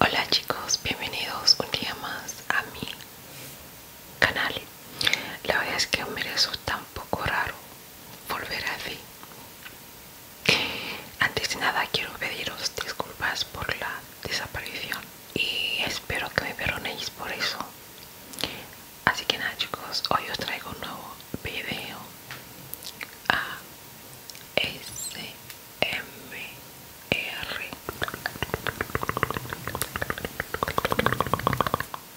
Hola chicos, bienvenidos un día más a mi canal. La verdad es que me resulta un poco raro volver así Antes de nada quiero pediros disculpas por la desaparición y espero que me perdonéis por eso. Así que nada chicos, hoy os traigo un nuevo video. A ah, e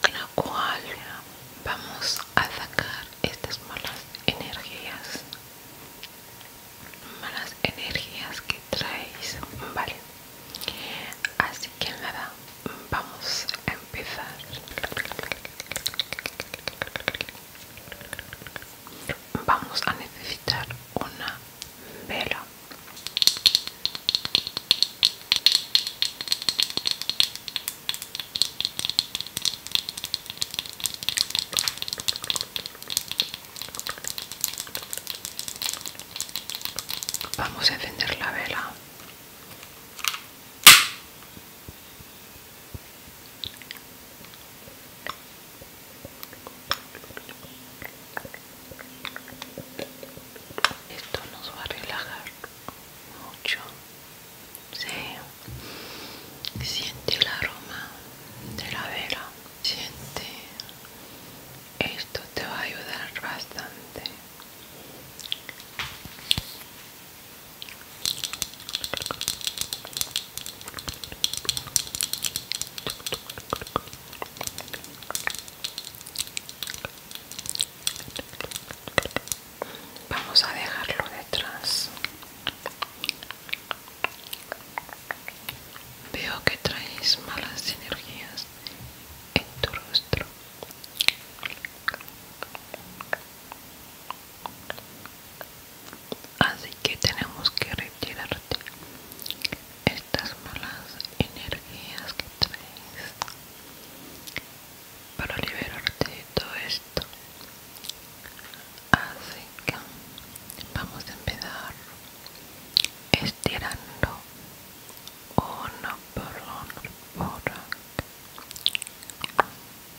en la cual vamos a sacar estas malas energías malas energías que traéis vale así que nada vamos a empezar vamos a necesitar una vela Vamos a encender la vela. Esto nos va a relajar mucho. Sí. Siente el aroma de la vela. Siente. Esto te va a ayudar bastante. Vamos a dejarlo detrás. Veo que traes malas energías en tu rostro así que tenemos que retirarte estas malas energías que traes para liberarte de todo esto así que vamos a empezar estirando uno por uno por uno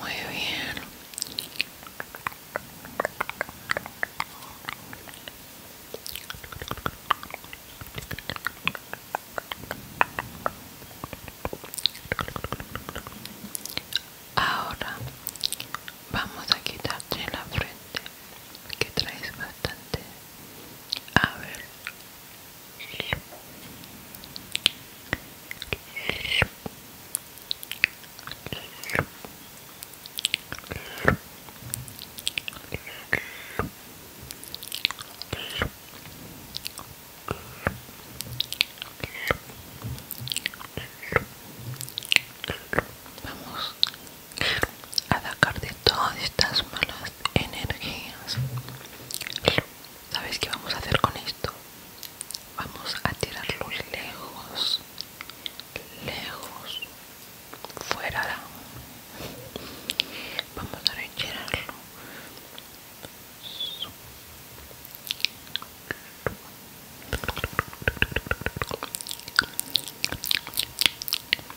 Muy bien. Ahora vamos a quitarte la frente que traes bastante a ver. Vamos a atacar de todas estas malas energías sabes qué vamos a hacer con esto vamos a tirarlo lejos lejos fuera vamos a retirarlo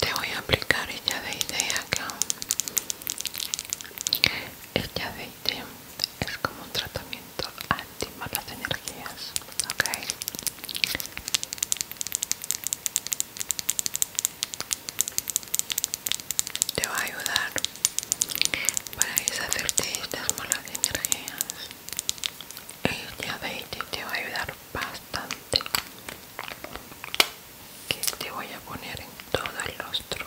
Te voy a aplicar ella de idea acá. Ella de idea es como un tratamiento anti malas energías, ¿ok? Te va a ayudar para deshacerte de estas malas energías este aceite te va a ayudar bastante que te voy a poner en todo el rostro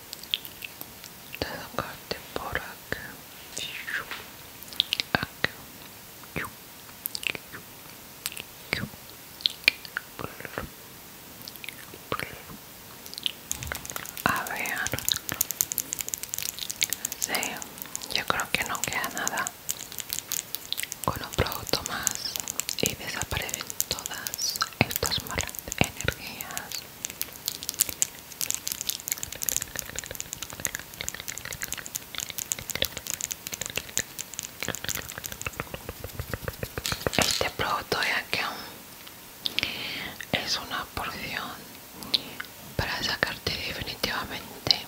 tocarte por acá a ver yo creo que no queda nada con un producto más y desaparecen todas estas malas energías este producto de aquí es una porción para sacarte definitivamente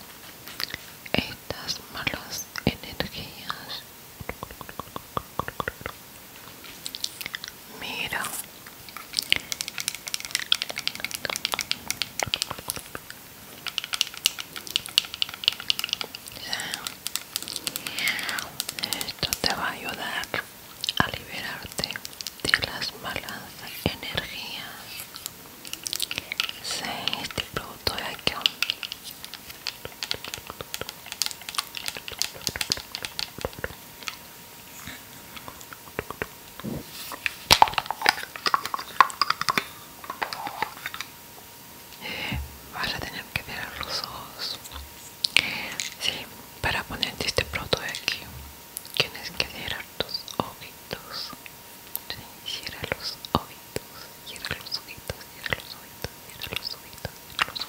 estas malas energías. Mira. Esto te va a ayudar a liberarte de las malas energías. Sí, este producto de aquí vas a tener que mirar los ojos sí, para ponerte este producto de aquí tienes que mirar tus ojitos sí, cierra los ojitos cierra los ojitos cierra los ojitos cierra los ojitos cierra los ojitos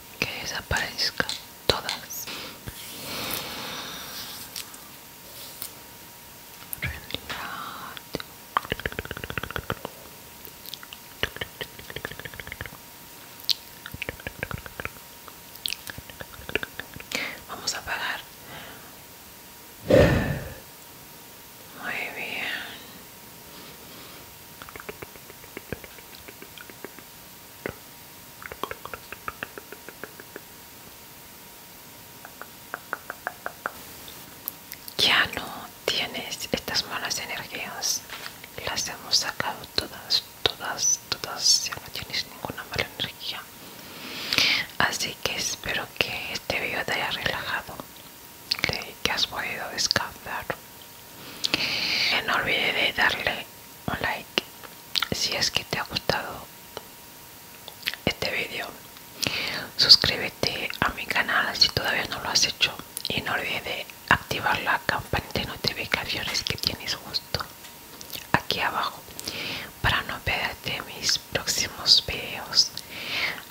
que desaparezca todas. Vamos a apagar. Muy bien. Ya no tienes estas malas energías, las hemos sacado todas, todas, todas, ya no tienes ninguna mala energía. Así que espero que este video te haya relajado, que, has podido descansar. No olvides de darle un like si es que te ha gustado este vídeo suscríbete a mi canal si todavía no lo has hecho y no olvides activar la campanita de notificaciones que tienes justo aquí abajo para no perderte mis próximos vídeos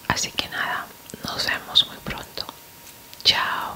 así que nada nos vemos muy pronto chao